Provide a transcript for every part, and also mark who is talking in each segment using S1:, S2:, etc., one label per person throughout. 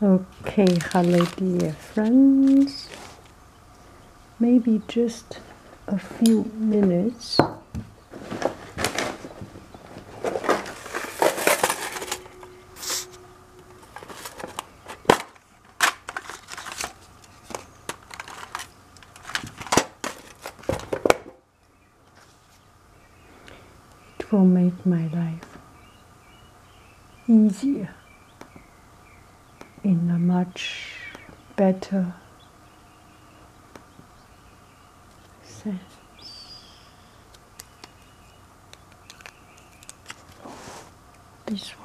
S1: Okay, hello dear friends. Maybe just a few minutes. It will make my life easier in a much better sense. This one.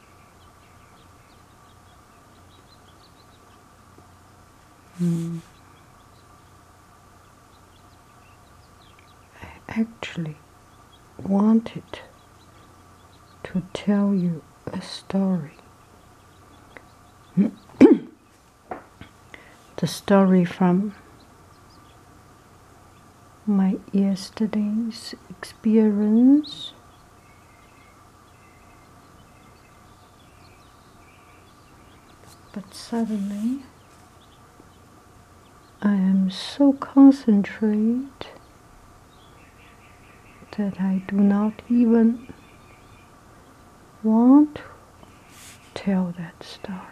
S1: Mm. I actually wanted to tell you a story. the story from my yesterday's experience but suddenly I am so concentrated that I do not even want to tell that story.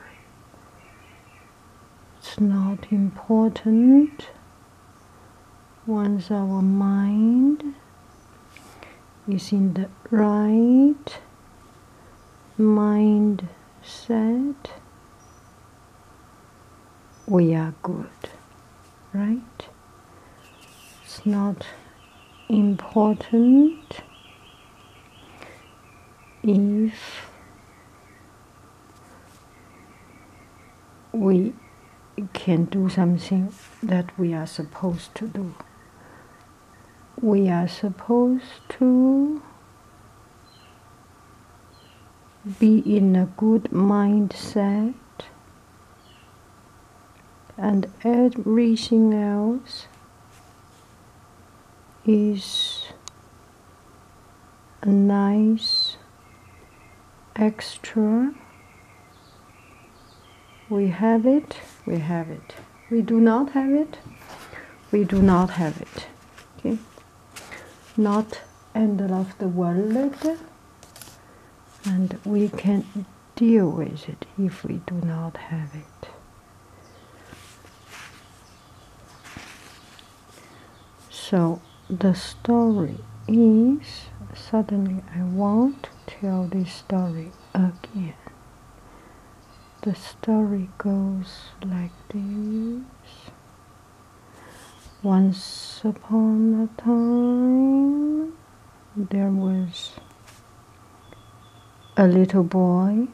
S1: It's not important once our mind is in the right mindset, we are good, right? It's not important if we can do something that we are supposed to do. We are supposed to be in a good mindset and everything else is a nice extra. We have it, we have it. We do not have it, we do not have it. Okay, not end of the world, and we can deal with it if we do not have it. So the story is suddenly I want to tell this story again. The story goes like this. Once upon a time, there was a little boy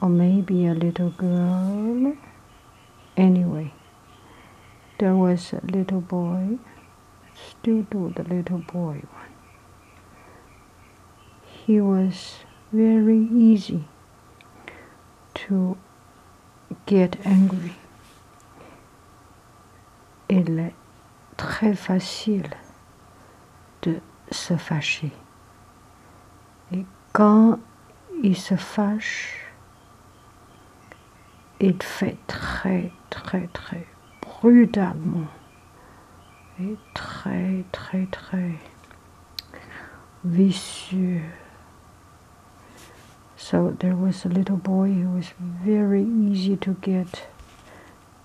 S1: or maybe a little girl. Anyway, there was a little boy, still do the little boy one. He was very easy to get angry. Il est très facile de se fâcher. Quand il se fâche, il fait très, très, très brutalement et très, très, très vicieux. So there was a little boy who was very easy to get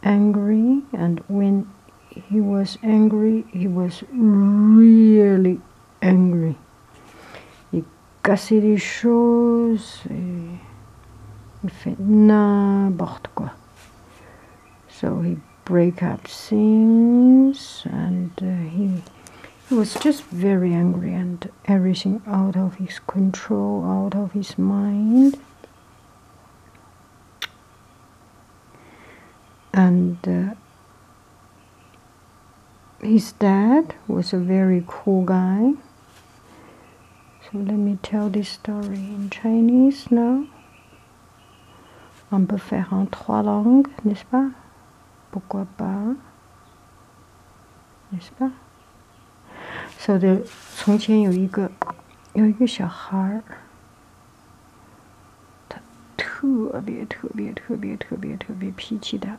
S1: angry, and when he was angry, he was really angry. He cassait his shoes. He il fait n'importe quoi. So he break up things and uh, he, he was just very angry and everything out of his control, out of his mind and uh, his dad was a very cool guy. So let me tell this story in Chinese now. On peut faire en trois langues, n'est-ce pas? Pourquoi pas? N'est-ce pas? So the 他特别特别特别特别特别脾气大，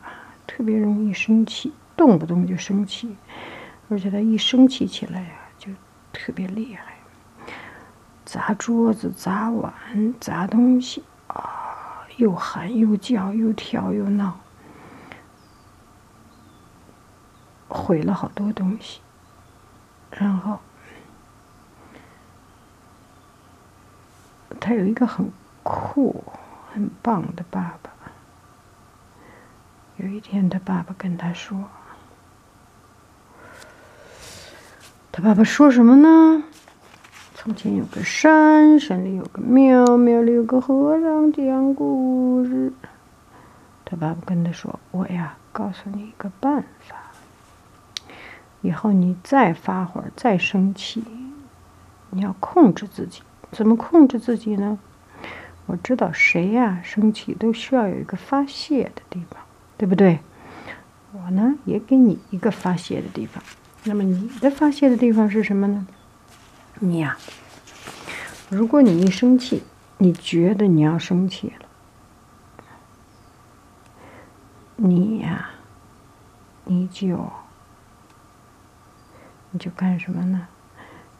S1: 特别容易生气，动不动就生气，而且他一生气起来呀，就特别厉害，砸桌子、砸碗、砸东西啊，又喊又叫，又跳又闹，毁了好多东西。然后，他有一个很酷、很棒的爸爸。有一天，他爸爸跟他说：“他爸爸说什么呢？从前有个山，山里有个庙，庙里有个和尚讲故事。他爸爸跟他说：‘我呀，告诉你一个办法。’”以后你再发火、再生气，你要控制自己。怎么控制自己呢？我知道谁呀，生气都需要有一个发泄的地方，对不对？我呢，也给你一个发泄的地方。那么你的发泄的地方是什么呢？你呀，如果你一生气，你觉得你要生气了。你呀，你就你就干什么呢？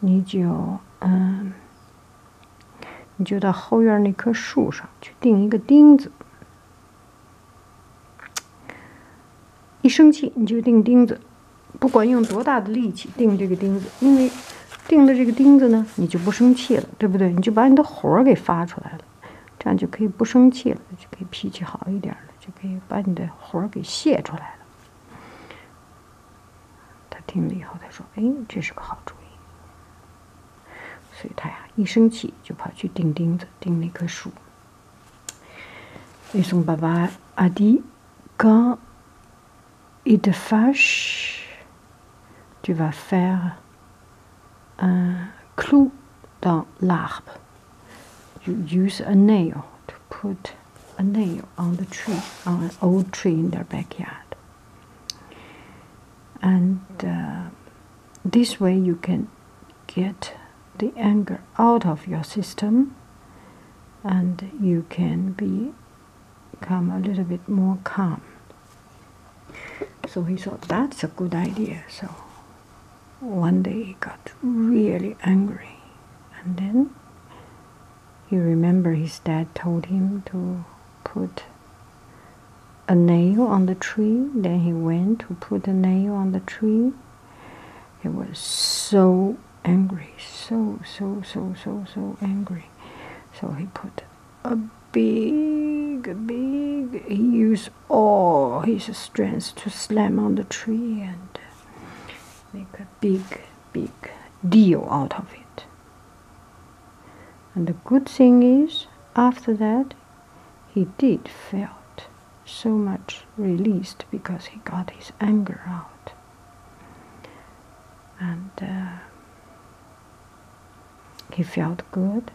S1: 你就嗯，你就到后院那棵树上去钉一个钉子。一生气你就钉钉子，不管用多大的力气钉这个钉子，因为钉了这个钉子呢，你就不生气了，对不对？你就把你的火给发出来了。这样就可以不生气了，就可以脾气好一点了，就可以把你的火给泄出来了。他听了以后，他说：“哎，这是个好主意。”所以，他呀一生气就跑去钉钉子，钉那棵树。Et on va voir q u il e f c h e tu vas faire un clou dans l'arbre. You use a nail to put a nail on the tree, on an old tree in their backyard. And uh, this way you can get the anger out of your system and you can become a little bit more calm so he thought that's a good idea. So one day he got really angry, and then he remembered his dad told him to put a nail on the tree. Then he went to put a nail on the tree. He was so angry, so, so, so, so, so angry. So he put a big, big. He used all oh, his strength to slam on the tree and make a big, big deal out of it. And the good thing is, after that, he did felt so much released because he got his anger out. And uh, he felt good.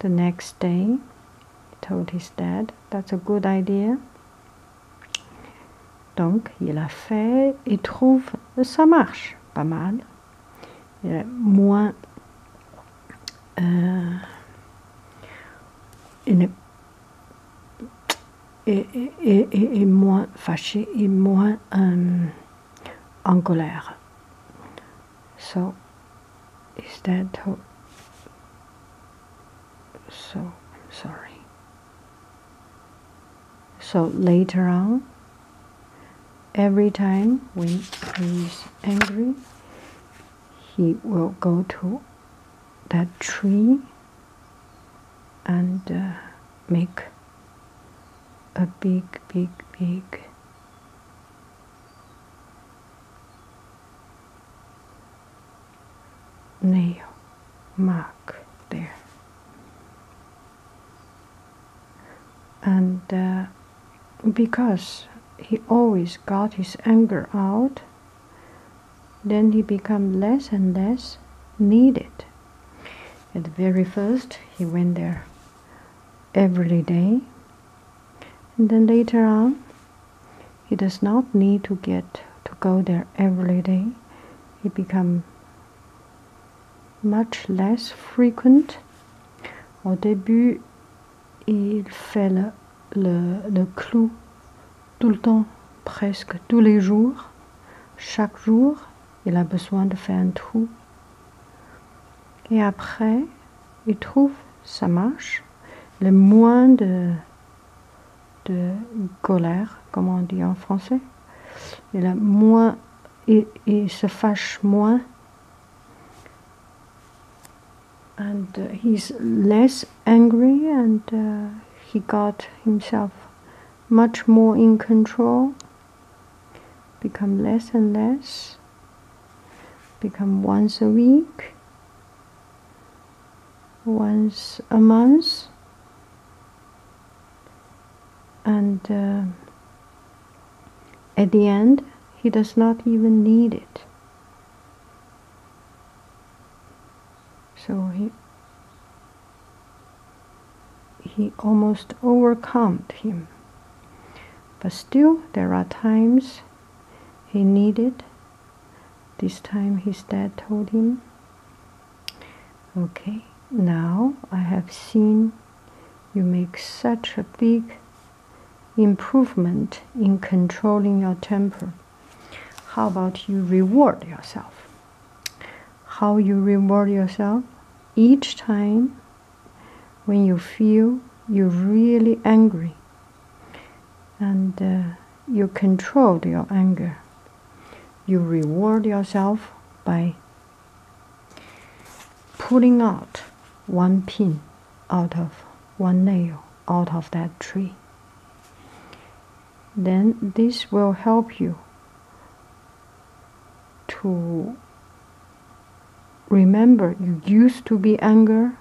S1: The next day, he told his dad, That's a good idea. Donc, il a fait et trouve ça marche pas mal. Il euh, il est, et, et, et, et, moins fâché et moins. Euh, en So, is that who? So, I'm sorry. So, later on, every time when he is angry, he will go to that tree and uh, make a big, big, big nail mark there. And uh, because he always got his anger out, then he became less and less needed. At the very first, he went there every day. And then later on, he does not need to get to go there every day. He become much less frequent. Au début, il fait le, le, le clou tout le temps, presque tous les jours, chaque jour. Il a besoin de faire un trou. Et après, il trouve sa marche, le moins de, de colère, comme on dit en français. Il, a moins, et il se fâche moins. And uh, he's less angry and uh, he got himself much more in control become less and less, become once a week, once a month, and uh, at the end, he does not even need it. So he he almost overcame him. But still, there are times he needed. This time his dad told him, Okay, now I have seen you make such a big improvement in controlling your temper. How about you reward yourself? how you reward yourself each time when you feel you're really angry and uh, you control your anger. You reward yourself by pulling out one pin out of one nail out of that tree. Then this will help you to remember you used to be anger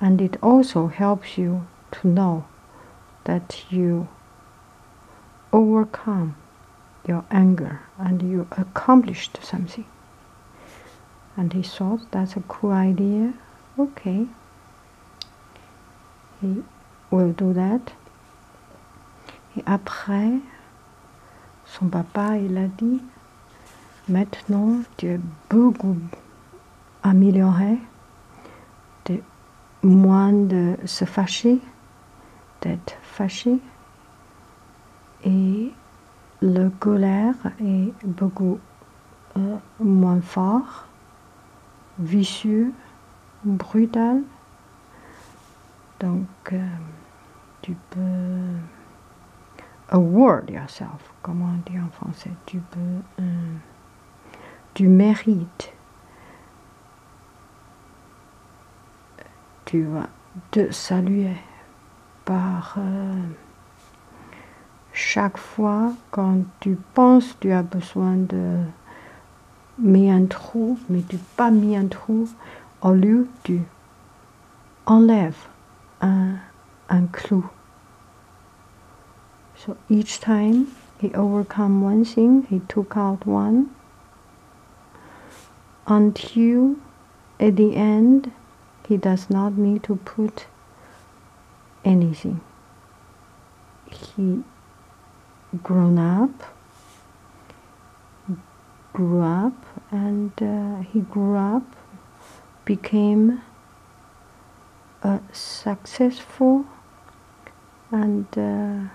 S1: and it also helps you to know that you overcome your anger and you accomplished something and he thought that's a cool idea okay he will do that Et après, son papa, il a dit, maintenant tu es beaucoup amélioré, de moins de se fâcher, d'être fâché, et le colère est beaucoup euh, moins fort, vicieux, brutal. Donc, euh, tu peux award yourself, Comment on dit en français. Tu peux, euh, tu mérites. Tu vas te saluer par euh, chaque fois quand tu penses tu as besoin de miantrou, mais du pas miantrou, au lieu du enlève un, un clou. So each time he overcome one thing, he took out one until at the end he does not need to put anything. He grown up, grew up, and uh, he grew up, became a successful and uh,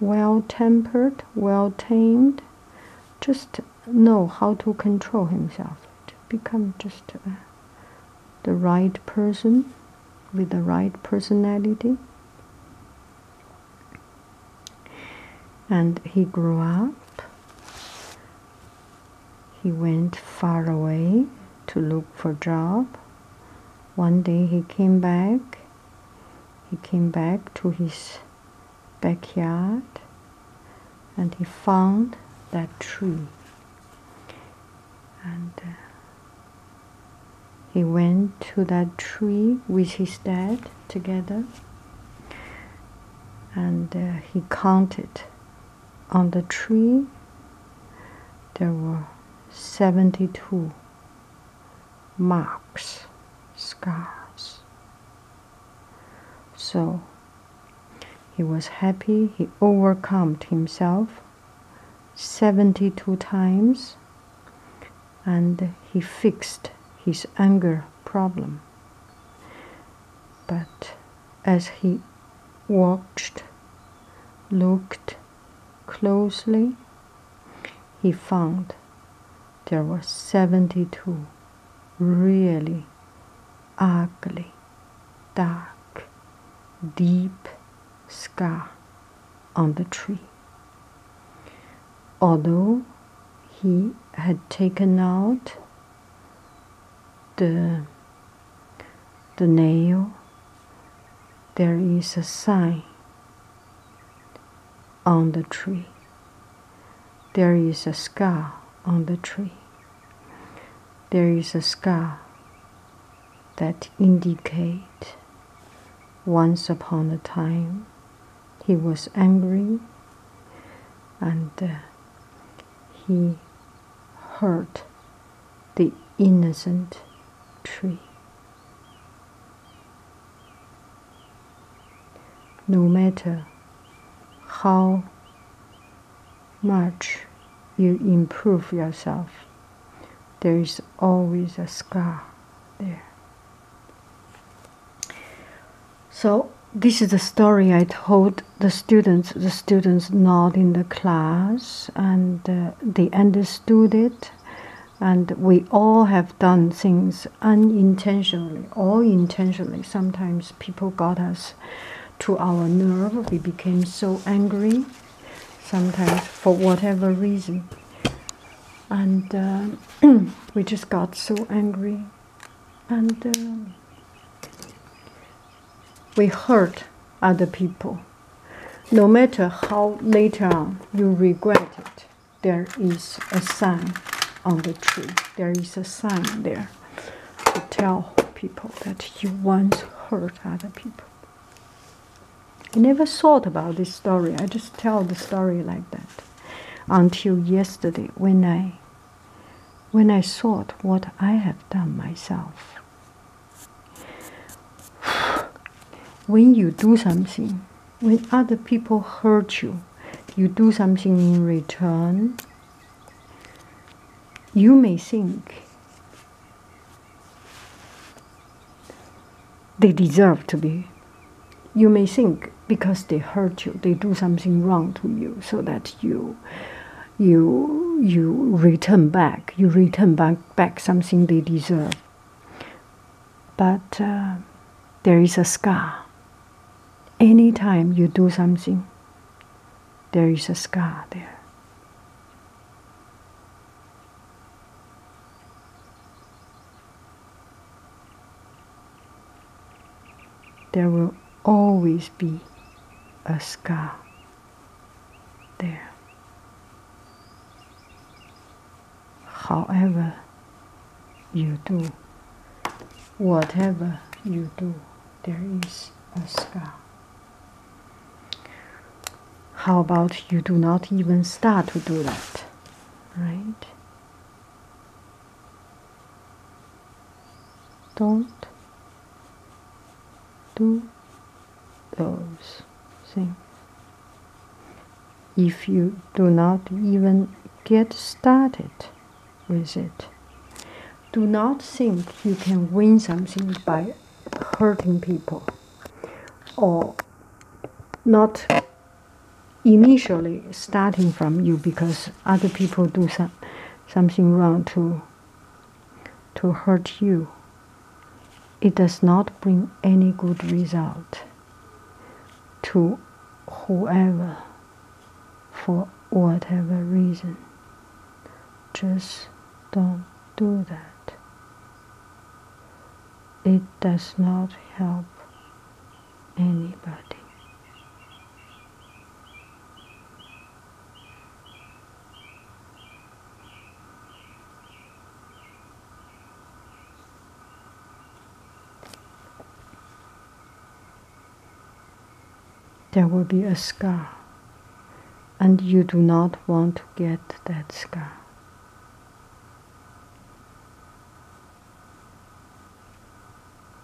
S1: well tempered, well tamed. Just know how to control himself, to become just a the right person with the right personality. And he grew up. He went far away to look for job. One day he came back. He came back to his backyard and he found that tree and uh, he went to that tree with his dad together and uh, he counted on the tree there were 72 marks scars so he was happy he overcame himself 72 times and he fixed his anger problem. But as he watched, looked closely, he found there were 72 really ugly, dark, deep scar on the tree. Although he had taken out the, the nail, there is a sign on the tree. There is a scar on the tree. There is a scar that indicate once upon a time he was angry and uh, he hurt the innocent tree. No matter how much you improve yourself, there is always a scar there. So this is the story I told the students. The students not in the class, and uh, they understood it. And we all have done things unintentionally or intentionally. Sometimes people got us to our nerve. We became so angry sometimes for whatever reason. And uh, we just got so angry and uh, we hurt other people. No matter how later on you regret it, there is a sign on the tree. There is a sign there to tell people that you once hurt other people. I never thought about this story. I just tell the story like that until yesterday when I when I thought what I have done myself. when you do something, when other people hurt you, you do something in return, you may think they deserve to be. You may think because they hurt you, they do something wrong to you, so that you, you, you return back. You return back back something they deserve. But uh, there is a scar. Anytime you do something, there is a scar there. There will always be a scar there. However, you do, whatever you do there is a scar. How about you do not even start to do that, right? Don't do those things. If you do not even get started with it, do not think you can win something by hurting people or not initially starting from you because other people do some, something wrong to to hurt you it does not bring any good result to whoever for whatever reason just don't do that. It does not help anybody there will be a scar, and you do not want to get that scar.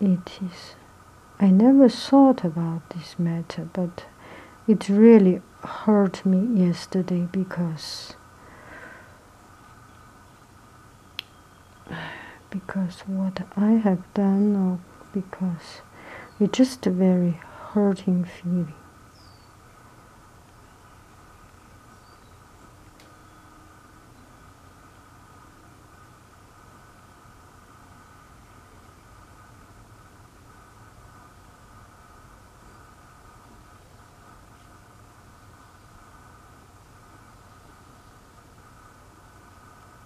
S1: It is. I never thought about this matter, but it really hurt me yesterday because because what I have done or because it's just a very hurting feeling.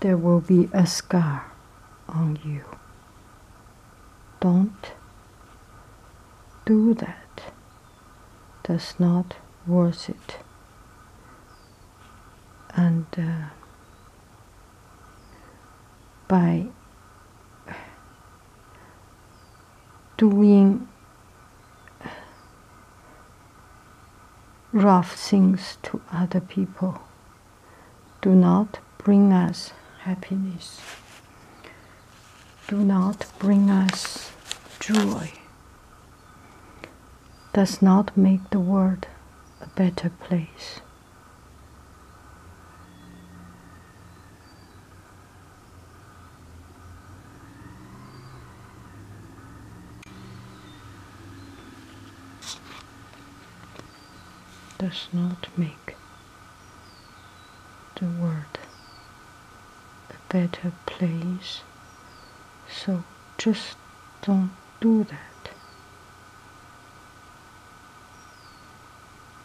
S1: There will be a scar on you. Don't do that. That's not worth it. And uh, by doing rough things to other people do not bring us happiness, do not bring us joy, does not make the world a better place does not make the world a better place. So just don't do that.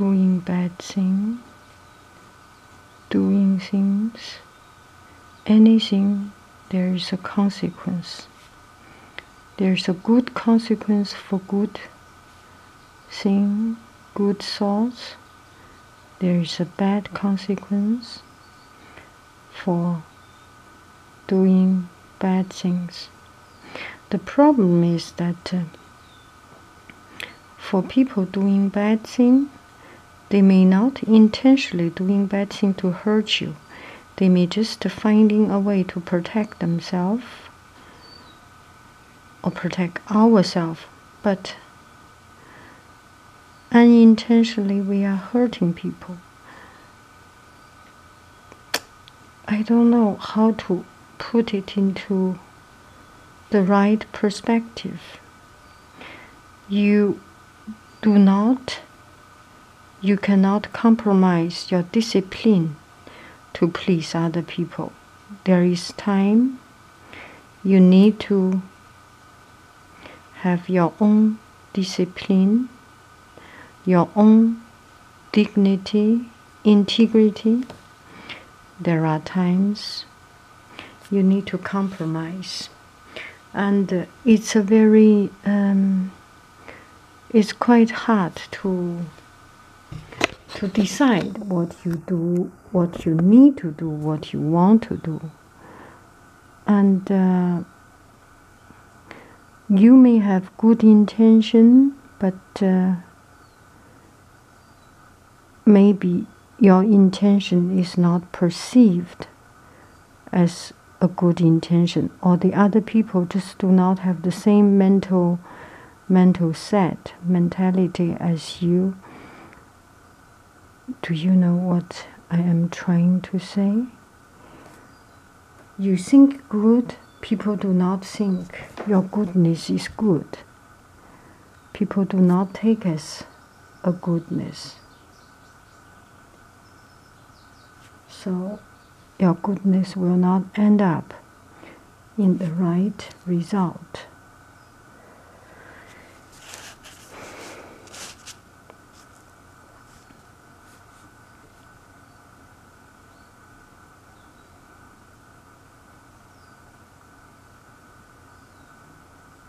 S1: doing bad things, doing things, anything there is a consequence. There is a good consequence for good thing, good thoughts. There is a bad consequence for doing bad things. The problem is that uh, for people doing bad thing, they may not intentionally doing bad thing to hurt you they may just finding a way to protect themselves or protect ourselves, but unintentionally we are hurting people. I don't know how to put it into the right perspective. You do not you cannot compromise your discipline to please other people. There is time you need to have your own discipline, your own dignity, integrity. There are times you need to compromise and uh, it's a very um, it's quite hard to to decide what you do, what you need to do, what you want to do, and uh, you may have good intention, but uh, maybe your intention is not perceived as a good intention or the other people just do not have the same mental mental set mentality as you do you know what i am trying to say you think good people do not think your goodness is good people do not take as a goodness so your goodness will not end up in the right result.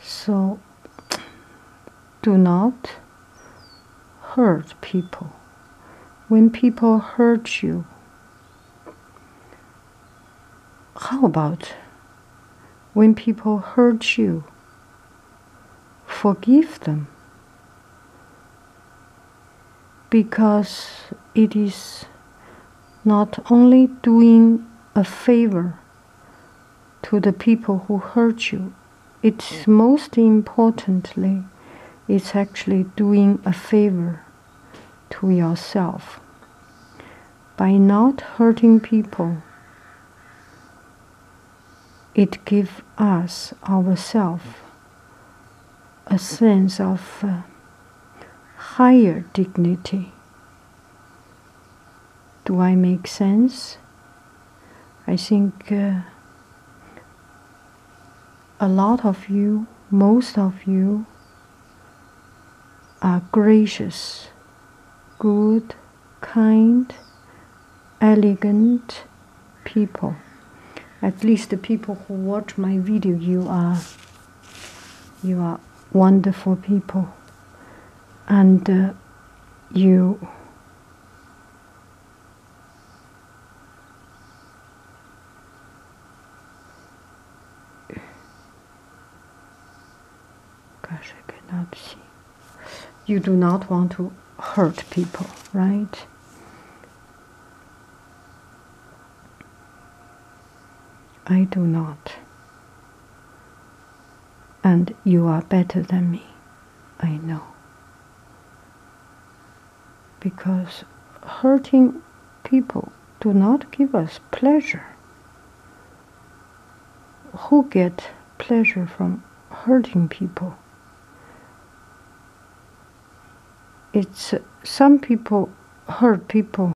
S1: So do not hurt people. When people hurt you, how about when people hurt you? Forgive them because it is not only doing a favor to the people who hurt you. It's most importantly, it's actually doing a favor to yourself. By not hurting people, it gives us ourselves a sense of uh, higher dignity do I make sense? I think uh, a lot of you, most of you, are gracious, good, kind, elegant people. At least the people who watch my video, you are you are wonderful people, and uh, you gosh, I cannot see. You do not want to hurt people, right? I do not. And you are better than me, I know. Because hurting people do not give us pleasure. Who get pleasure from hurting people? It's some people hurt people